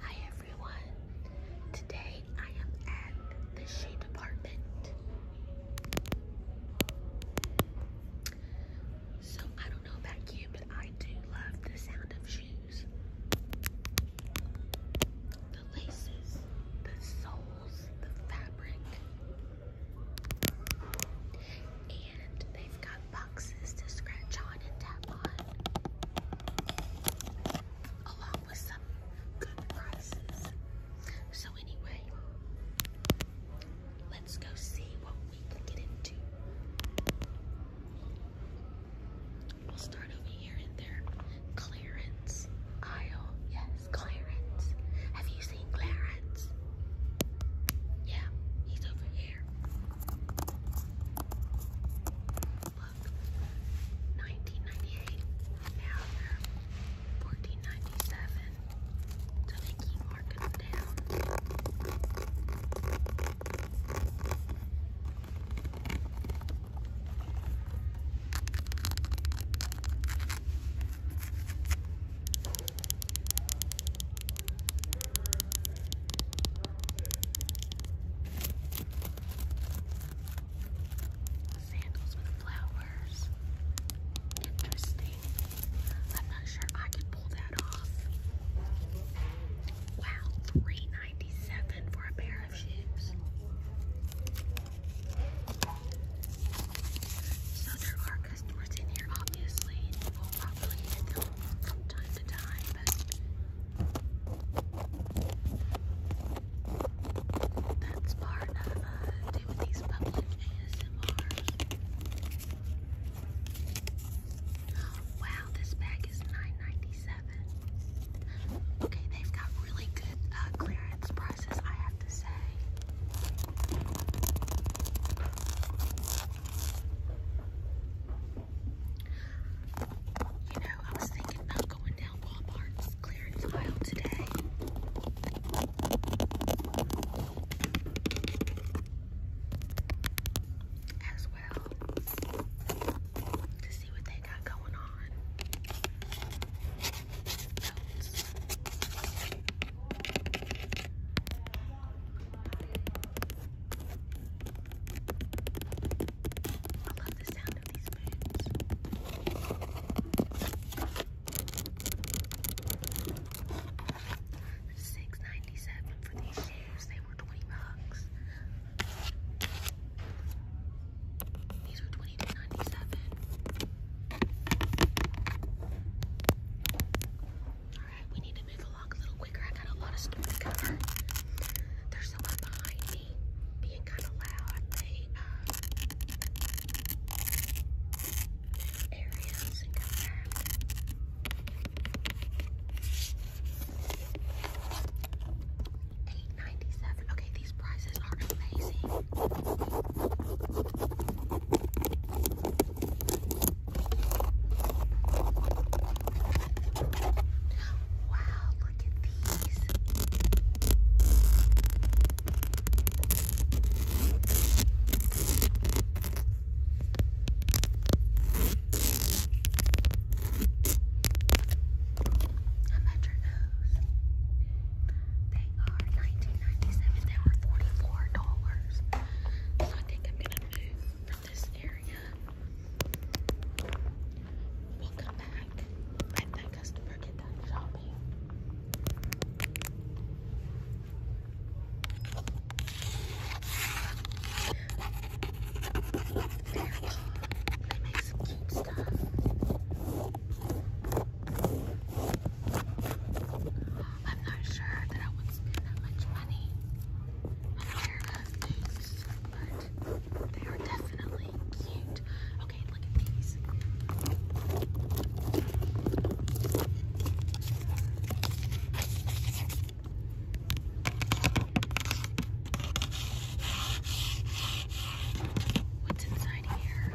Hi everyone. Today I am at the Shea department. So I don't know about you, but I do love the sound of shoes. The laces, the soles, the fabric. And they've got boxes to scratch on and tap on, So, anyway, let's go see what we can get into. We'll start over here in their clearance aisle. Yes, clearance. Have you seen Clarence? Yeah, he's over here. Look, 1998. Now they're 1497. So they keep marking them down. Sandals with flowers. Interesting. I'm not sure I could pull that off. Wow, three ninety seven for a pair of shoes. So there are customers in here, obviously. probably from time to time, but that's part of uh, Timothy's public ASMRs. Wow, this bag is nine ninety seven. Okay, they've got really good uh, clearance prices, I have to say. You know, I was thinking about going down Walmart's clearance aisle today. As well. To see what they got going on. I love the sound of these spoons. Six ninety seven for these shoes. They were twenty bucks. These were twenty two ninety seven. Alright, we need to move along a little quicker. I got a lot of stuff to cover. There's someone behind me being kind of loud. Uh, Eight ninety seven. Okay, these prices are amazing. Wow, look at these. I measured those. They are 19 They were $44. So I think I'm going to this area. We'll come back when that customer get done shopping. They make some cute stuff. I'm not sure that I would spend that much money on hair but they are definitely cute. Okay, look at these. What's inside here?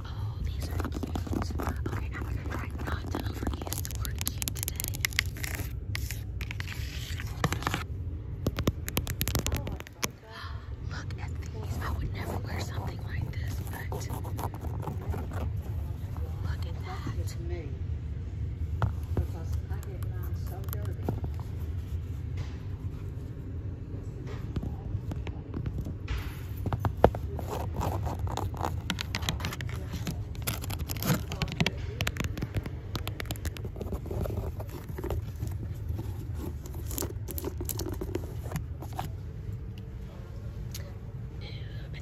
Oh, these are cute. Okay, now we gonna try not to overuse the word cute today. Look at these. I would never wear something like this, but look at that and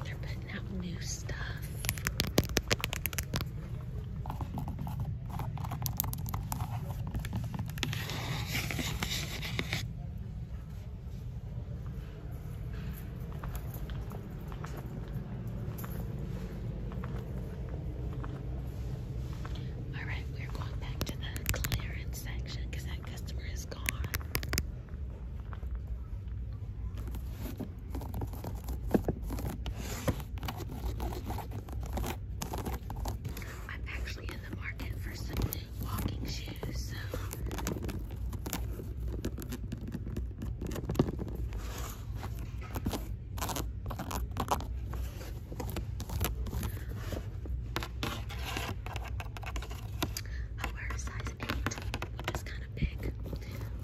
they're putting out new stuff. All right, we're going back to the clearance section because that customer is gone. I'm actually in the market for some walking shoes, I wear a size 8, which kind of big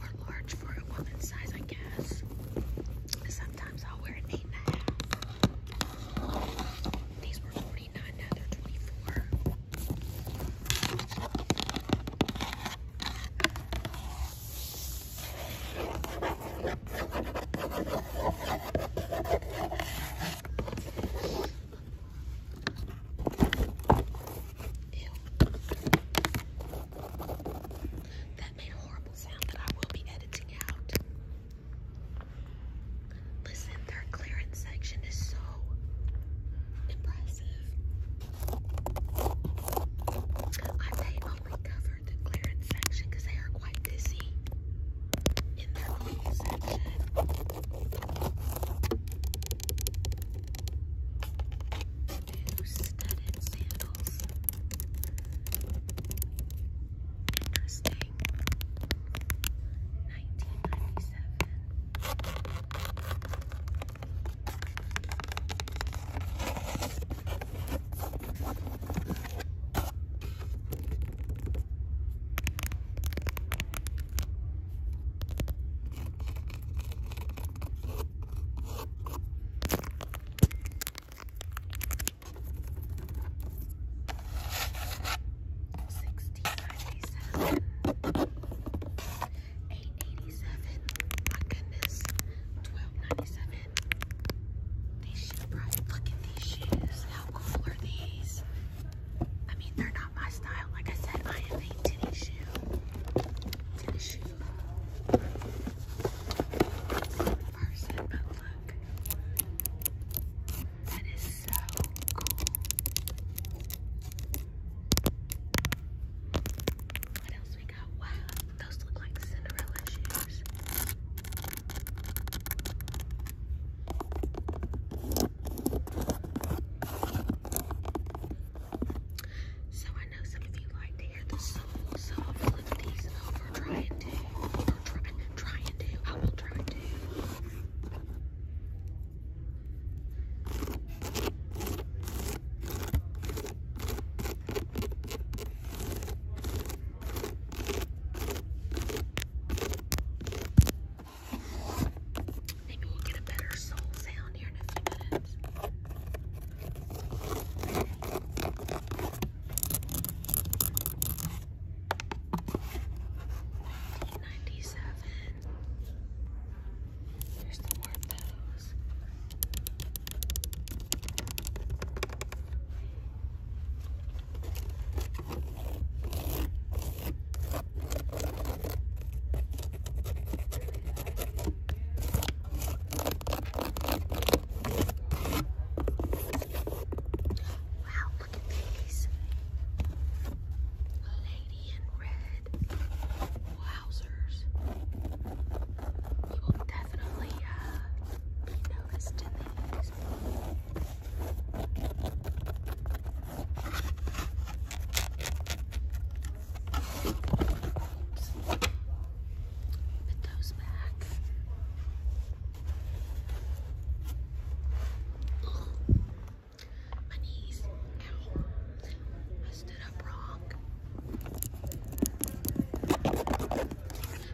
or large for a woman's size, I guess. Sometimes I'll wear an 8 These were 49 now they're 24 Ew. That made a horrible sound that I will be editing out. Listen, their clearance section is so impressive. I only covered the clearance section because they are quite busy in their own section. New studded sandals. Interesting. 1997. Sixty-nine 887. 887. My goodness. 1297. These shoes, Look at these shoes. How cool are these? I mean, they're not my style. Like I said, I am a tennis shoe. Tennis shoe. Person, but look. That is so cool. What else we got? Wow, those look like Cinderella shoes. So I know some of you like to hear the soul, so I'll flip these over, trying to, or try, trying to, I will try to. Maybe we'll get a better soul sound here in a few minutes. Nineteen ninety seven. Here's the more Wow, look at these. lady in red. Wowzers. You will definitely uh, be noticed in these. Oops. Put those back. I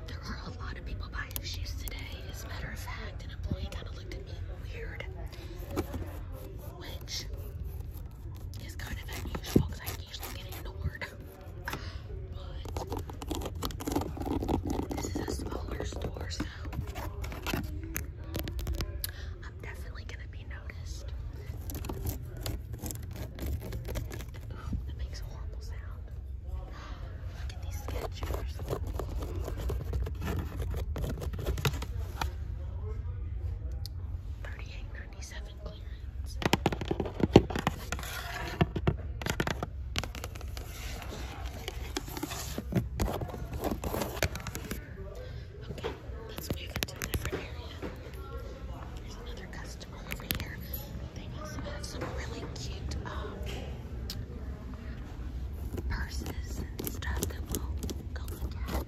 There are a lot of people buying shoes today. As a matter of fact, an employee kind of looked at me weird, which is kind of unusual because I usually get ignored. But this is a smaller store, so I'm definitely gonna be noticed. Ooh, that makes a horrible sound. Look at these sketchers. Thirty-eight ninety-seven clearance. Let's move into a different area. There's another customer over here. They also have some really cute um, purses and stuff that we'll go look at.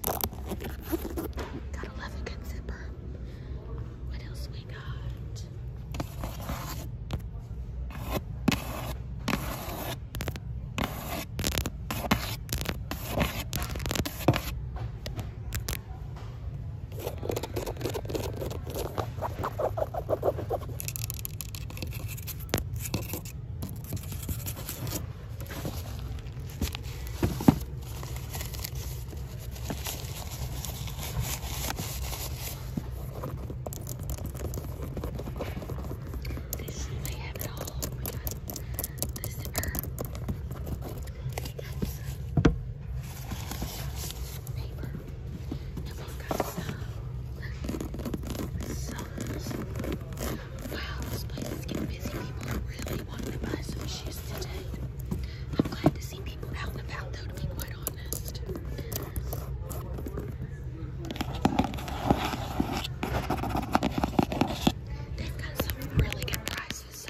Got a leather good zipper. What else we got? This they have it all. Oh my god. The zipper. It has paper. And we got some, some, Wow, this place is getting busy. People really wanting to buy today. I'm glad to see people out and about though, to be quite honest. they got some really good prices,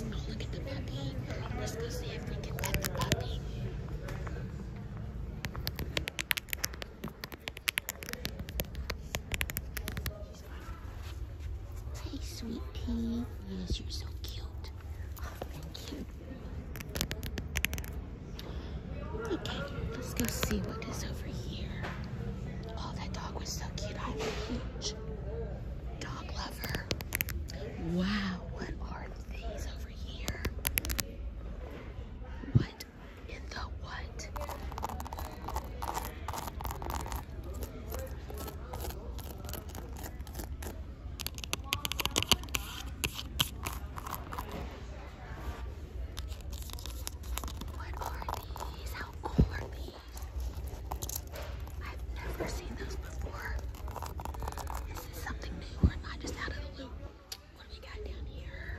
look at the puppy. Let's go see if we can pet the puppy. Hey, sweet pea. Yes, you're so cute. Oh, thank you. Okay, let's go see what is over here. Oh, that dog was so cute. I'm a huge dog lover. Wow, what are these over here? What in the what? What are these? How cool are these? I've never seen those before. This is something new. I'm not just out of the loop. What do we got down here?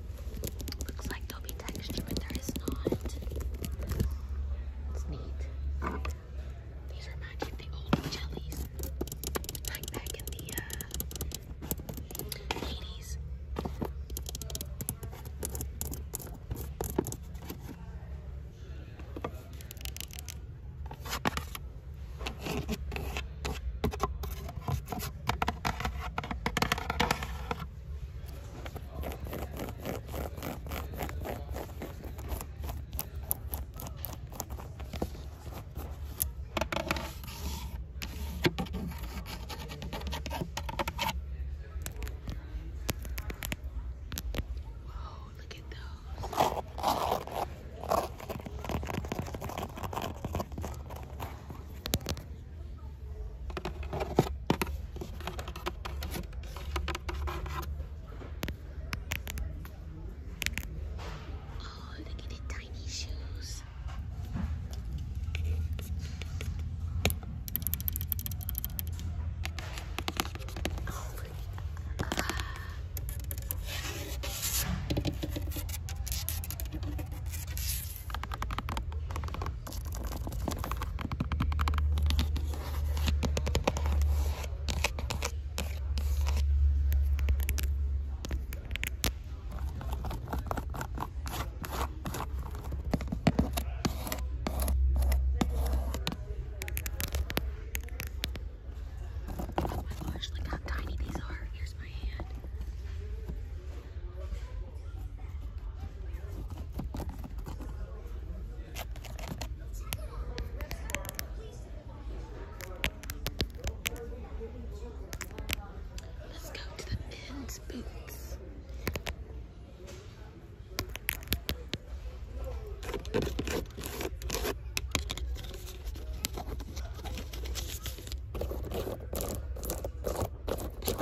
Looks like there'll be texture, but there is not. It's neat. These remind me of the old jellies. Like back in the 80s. Uh, Whoa, look at those. Oh, look at the tiny shoes. Oh, Oh gosh, look how tiny these are. Here's my hand. Let's go to the men's boots. I will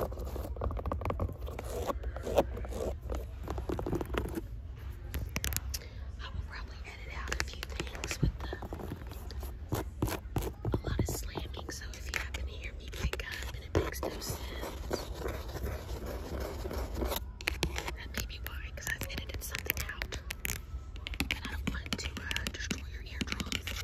probably edit out a few things with a lot of slamming, so if you happen to hear me pick up and it makes no sense, that may be why, because I've edited something out, I don't want to uh, destroy your eardrums.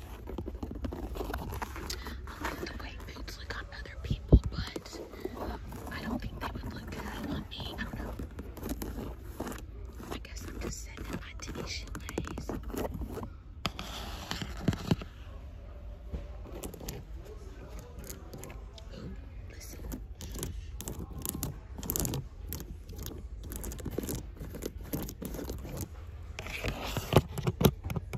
like the way boots look on other people, but I don't think they would look good on me. I don't know. I guess I'm just sitting in my t ways. listen.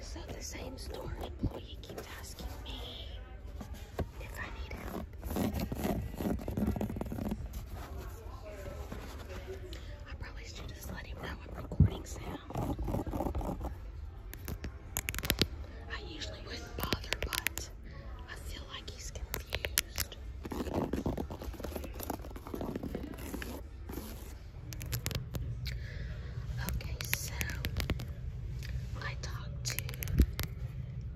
So the same store employee keeps asking me if I need help. I probably should just let him know I'm recording sound. I usually wouldn't bother, but I feel like he's confused. Okay, so I talked to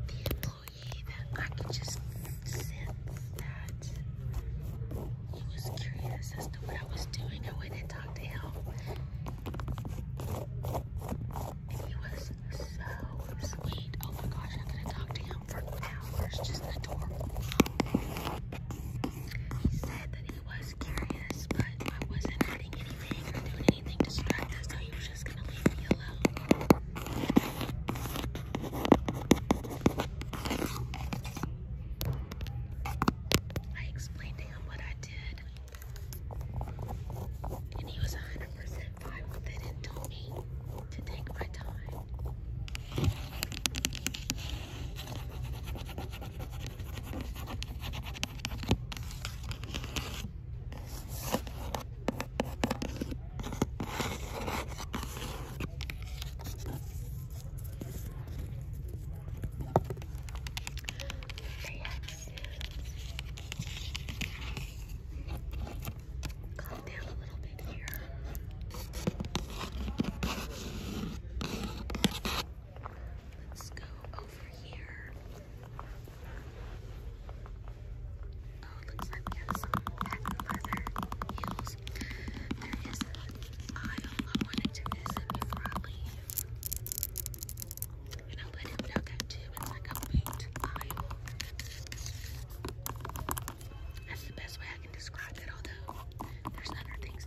the employee that I could just sense that he was curious as to what I was doing. I went and talked to him. And he was so sweet. Oh my gosh, I could have talked to him for hours. Just adorable. He said that really was curious, but I wasn't adding anything or doing anything to so he was just gonna leave me alone. I explained to him what I did, and he was 100% fine with it and told me to take my time. They have to calm down a little bit here. Let's go over here. Oh, it looks like we have some patent leather heels. There is an aisle I wanted to visit before I leave. And I'll let him know that It's like a paint aisle. That's the best way I can describe it, although there's other things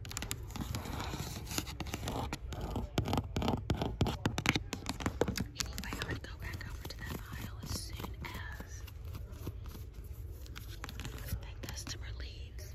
Anyway, I'm gonna go back over to that aisle as soon as that customer leaves.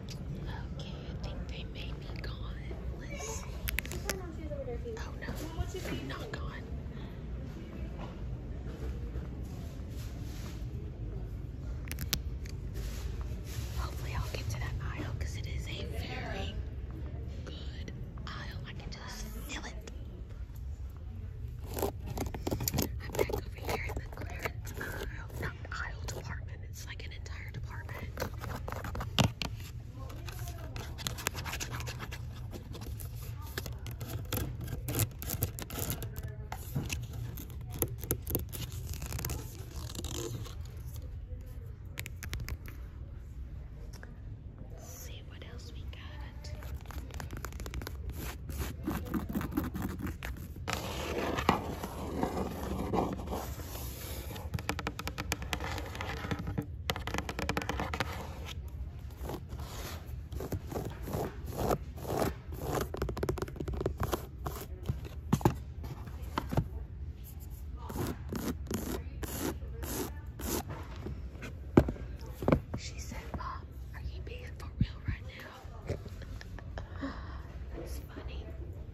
Okay, I think they may be gone. Oh no, I'm not gone. Hopefully, I'll get to that aisle because it is a very good aisle. I can just feel it. I'm back over here in the clearance aisle not department, it's like an entire department. see what else we got. She said, Mom, are you being for real right now? That's funny.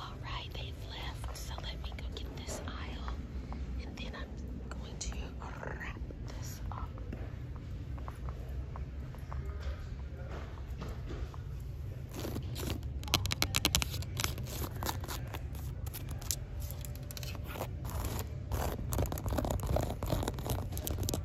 Alright, they've left, so let me go get this aisle and then I'm going to wrap this up.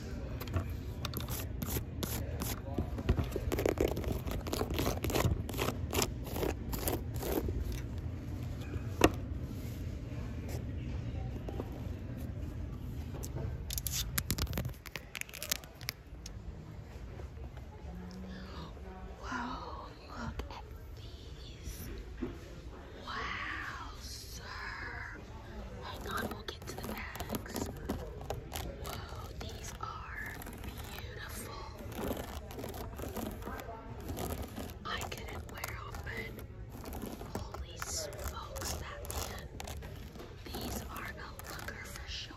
Wow, look at these. Wow, sir. Hang on, we'll get to the bags. Whoa, these are beautiful. I couldn't wear them, but holy smokes, that man. These are a looker for sure.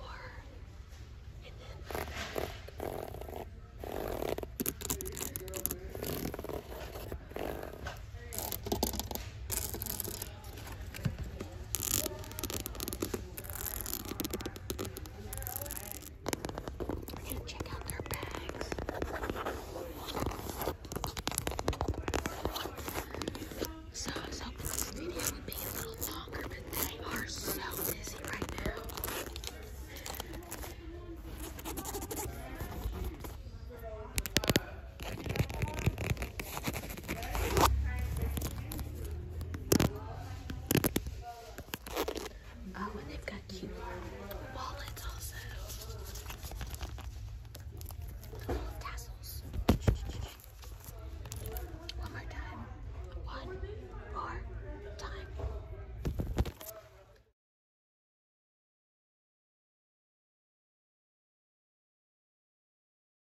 So I was hoping this video would be a little longer, but they are so busy right now. Oh, and they've got cute wallets also. Little tassels. One more time. One more time.